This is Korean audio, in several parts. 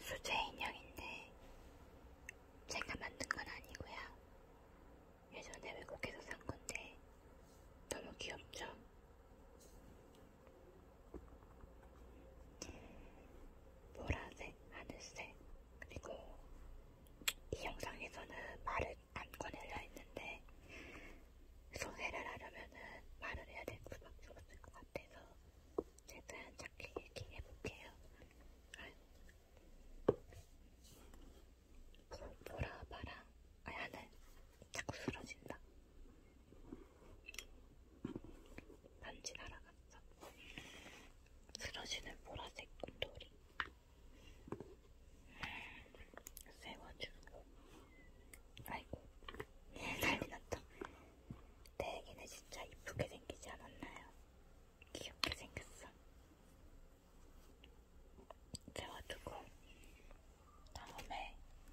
수제 인형인데 제가 만든 건 아니고요. 예전에 외국에서 산 건데 너무 귀엽죠? 보라색, 하늘색, 그리고 이 영상에서는 말을 안 꺼내려 했는데 소개를 하려면은 말을 해야 될 수밖에 없을 것 같아서 최대한 작게 얘기해볼게요. 아, 보라, 바라, 아, 하늘. 자꾸 쓰러진다. 반지 날아갔어. 쓰러지는 보라색 곰돌이. 세워주고. 아이고. 난리 났다. 대기는 진짜 이쁘게 생기지 않았나요? 귀엽게 생겼어. 세워두고. 다음에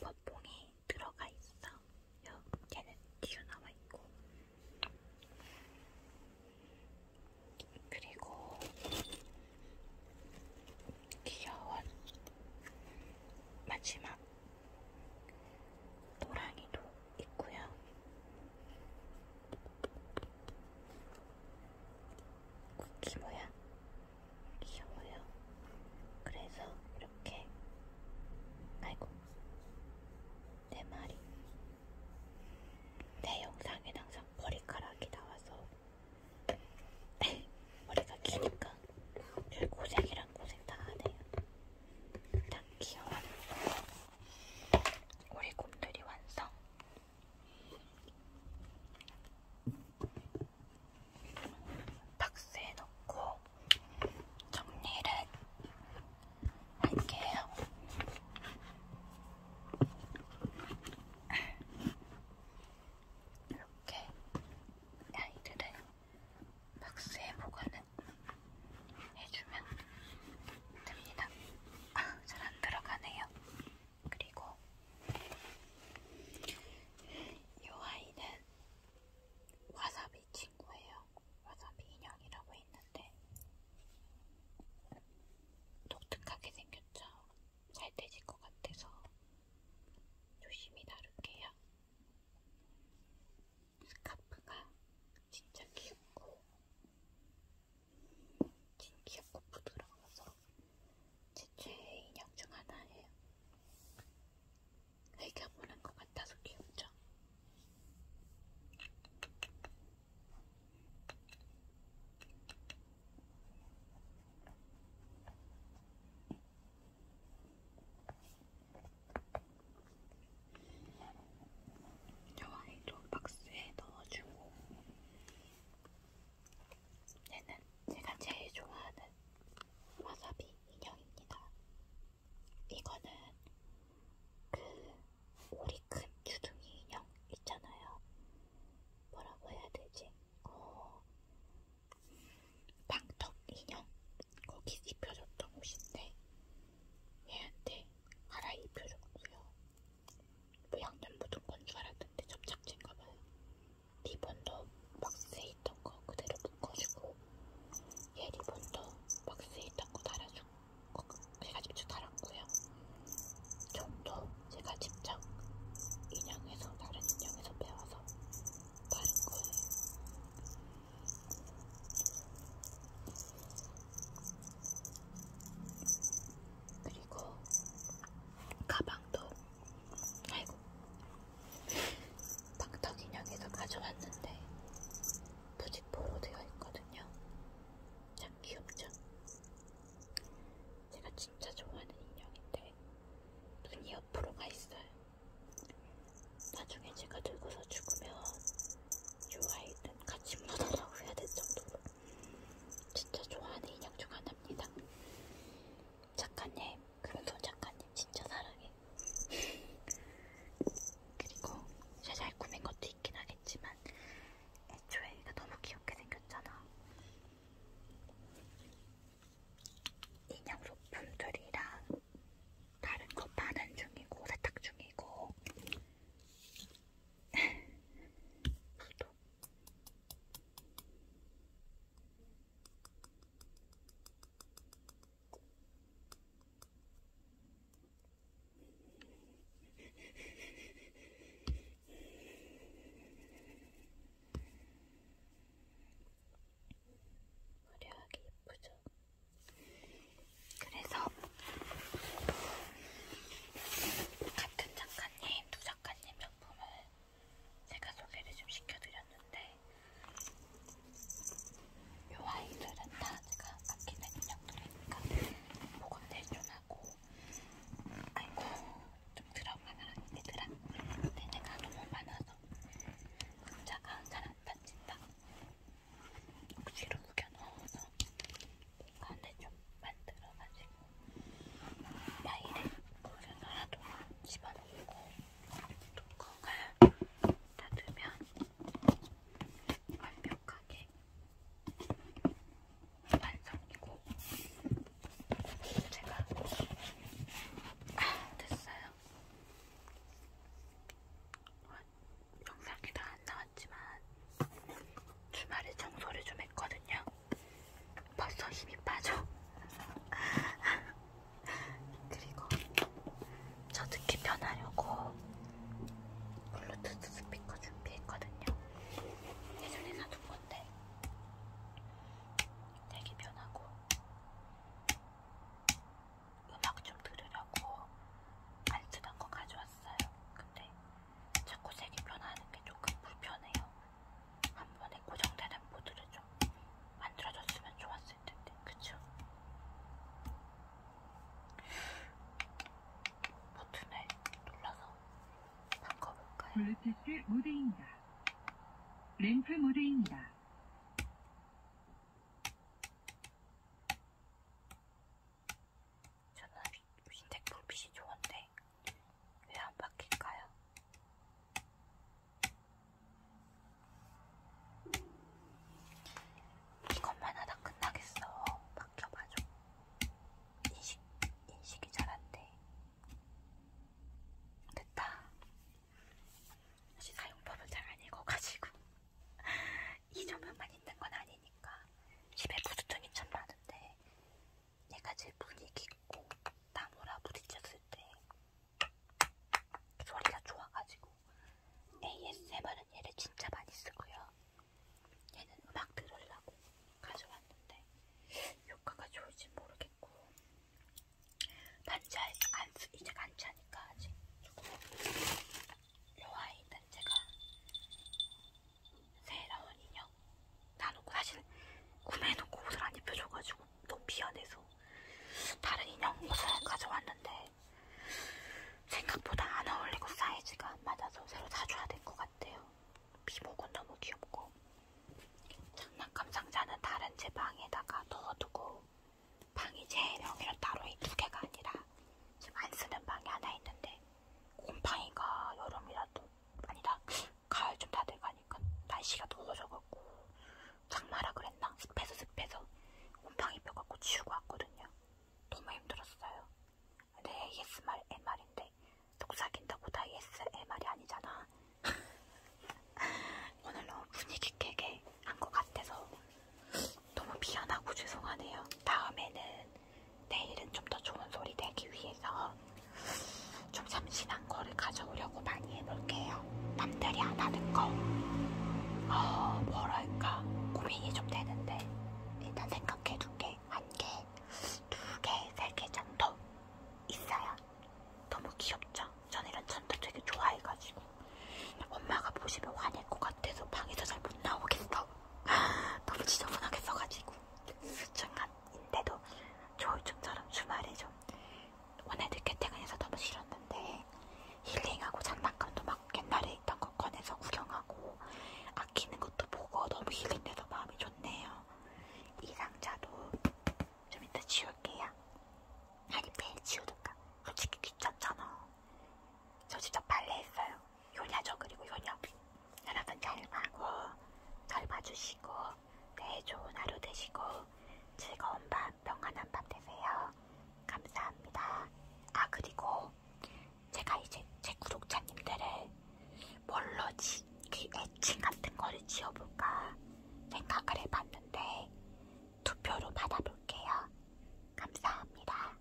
버봉이 들어가 있어. 요, 얘는 튀어나와 있고. 그리고 귀여운 마지막 노랑이도 있고요. 쿠키 모양 귀여워요. 그래서 이렇게 아이고 내 말이 내 영상에 항상 머리카락이 나와서 머리가 기니까 별 고생이란 고생 다안 해요. 딱 귀여워요. 우리 곰돌이 완성. 박스에 넣고 정리를 할게요. 이렇게 아이들을 박스에 보관을 해주면 됩니다. 아, 잘 안 들어가네요. 그리고 이 아이는 와사비 친구예요. 와사비 인형이라고 있는데 독특하게 생겼죠. 잘되질 것 같아서 조심히 다룰게요. 스카프가 진짜 귀엽고 진 귀엽고 부드러워서 제 최애 인형 중 하나예요. 흘겨보는 것 같아서 귀엽죠? 저 아이도 박스에 넣어주고 얘는 제가 제일 좋아하는 와사비 인형입니다. 이거는 그 우리 큰 주둥이 인형 있잖아요. 뭐라고 해야 되지? 어, 방턱 인형 거기 입혀줬던 옷인데 얘한테 갈아입혀줬고요. 뭐 양념 묻은 건줄 알았는데 접착제인가봐요. 리본도 박스에 있던 거 그대로 묶어주고 얘 리본도 박스에 있던 거 달아주고 제가 직접 달았고요. 종도 제가 직접 인형에서 다른 인형에서 배워서 다른 거예요. 그리고 가방도 아이고 방떡 인형에서 가져왔는데 부직포로 되어 있거든요. 참 귀엽죠? 제가 진짜 좋아하는 인형인데 눈이 옆으로 가 있어요. 나중에 제가 늙어서 죽으면 이 아이는 같이 묻어라고 해야 될 정도로 진짜 좋아하는 인형 중 하나입니다. 작가님, 그손 작가님 진짜 사랑해. 그리고 제잘 꾸민 것도 있긴 하겠지만 애초에 얘가 너무 귀엽게 생겼잖아. 인형 소품들이랑 다른 거 파는 중이고 세탁 중이고. 또 화려하게 예쁘죠? 그래서 같은 작가님 두 작가님 작품을 제가 소개를 좀 시켜드렸는데 이 아이들은 다 제가 아끼는 인형들이니까 보건대존하고 아이고 좀 들어가라 얘들아 근데 내가 너무 많아서 금자가 잘안 닫힌다 뒤로 구겨 넣어서 간에 좀 만들어가지고 과일에 우려서라도 집어넣고 뚜껑을 닫으면 완벽하게 완성이고 제가 아, 됐어요. 영상이 다안 나왔지만 주말에 청소를 좀 했거든요. 벌써 힘이 빠져. 그리고 저 듣기 편하려고 블루투스 스피커 준비했거든요. 예전에 사둔 건데 되게 편하고 음악 좀 들으려고 안 쓰던 거 가져왔어요. 근데 자꾸 색이 변하는 게 조금 불편해요. 한 번에 고정되는 보드를 좀 만들어줬으면 좋았을 텐데, 그쵸? 버튼을 눌러서 바꿔볼까요? 블루투스 모드입니다. 램프 모드입니다. 저는 흰색 불빛이 좋은데 왜 안 바뀔까요? 이것만 하다 끝나겠어. 바뀌어봐줘. 인식, 인식이 잘안 돼. 됐다. 사실 사용법은 잘안 읽어가지고. 이 조명만 있는 건 아니니까. 집에 부스통이 참 많은데 얘가 제일 분위기 있고 나무라 부딪혔을 때 소리가 좋아가지고 ASMR은 얘를 진짜 많이 쓰고요. 얘는 음악 들으려고 가져왔는데 효과가 좋을지 모르겠고 반지 안 쓰, 이제 안 차니까 아직. 이 아이는 제가 새로운 인형 나놓고 사실 구매해놓고 옷을 안 입혀줘가지고 너무 미안해서 다른 인형 옷을 가져왔는데 생각보다 안 어울리고 사이즈가 안 맞아서 새로 사줘야 될 것 같아요. 미모군 너무 귀엽고 장난감 상자는 다른 제 방에다가 넣어두고 방이 제 명의로 따로 이 두 개가 아니라 지금 안 쓰는 방이 하나 있는데 곰팡이가 여름이라도 아니다 가을 좀다 돼가니까 날씨가 더워져갖고 장마라 그랬나 습해서 습해서 곰팡이 뼈갖고 치우고 왔거든요 너무 힘들었어요 근데 ASMR MR인데 속삭인다고 다 ASMR이 아니잖아 오늘 너무 분위기 깨게 한 것 같아서 너무 미안하고 죄송하네요 다음에는 내일은 좀 더 좋은 소리 내기 위해서 좀 참신한 거를 가져오려고 많이 해볼게요. 남들이 안 하는 거. 어, 뭐랄까. 고민이 좀 되는데. 일단 생각해둘게. 한 개, 두 개, 세 개 정도 있어요. 너무 귀엽죠? 저는 이런 천도 되게 좋아해가지고. 엄마가 보시면 화낼 것 같아서 방에서 잘 못 나오겠어. 너무 지저분하게 써가지고 수중한인데도 조이충처럼 주말에 좀 오늘 늦게 퇴근해서 너무 싫었는데 힐링하고 장난감도 막 옛날에 있던 거 꺼내서 구경하고 아끼는 것도 보고 너무 힐링돼서 마음이 좋네요. 이 상자도 좀 이따 지울게요. 아니 매일 지우든가 솔직히 귀찮잖아. 저 진짜 빨래했어요. 효녀죠. 그리고 효녀. 여러분 잘 봐고 잘 봐주시고 네 좋은 하루 되시고 즐거운 밤 평안한 밤 되세요. 감사합니다. 아 그리고 제가 이제 제 구독자님들을 뭘로 지, 그 애칭 같은 거를 지어볼까 생각을 해봤는데 투표로 받아볼게요. 감사합니다.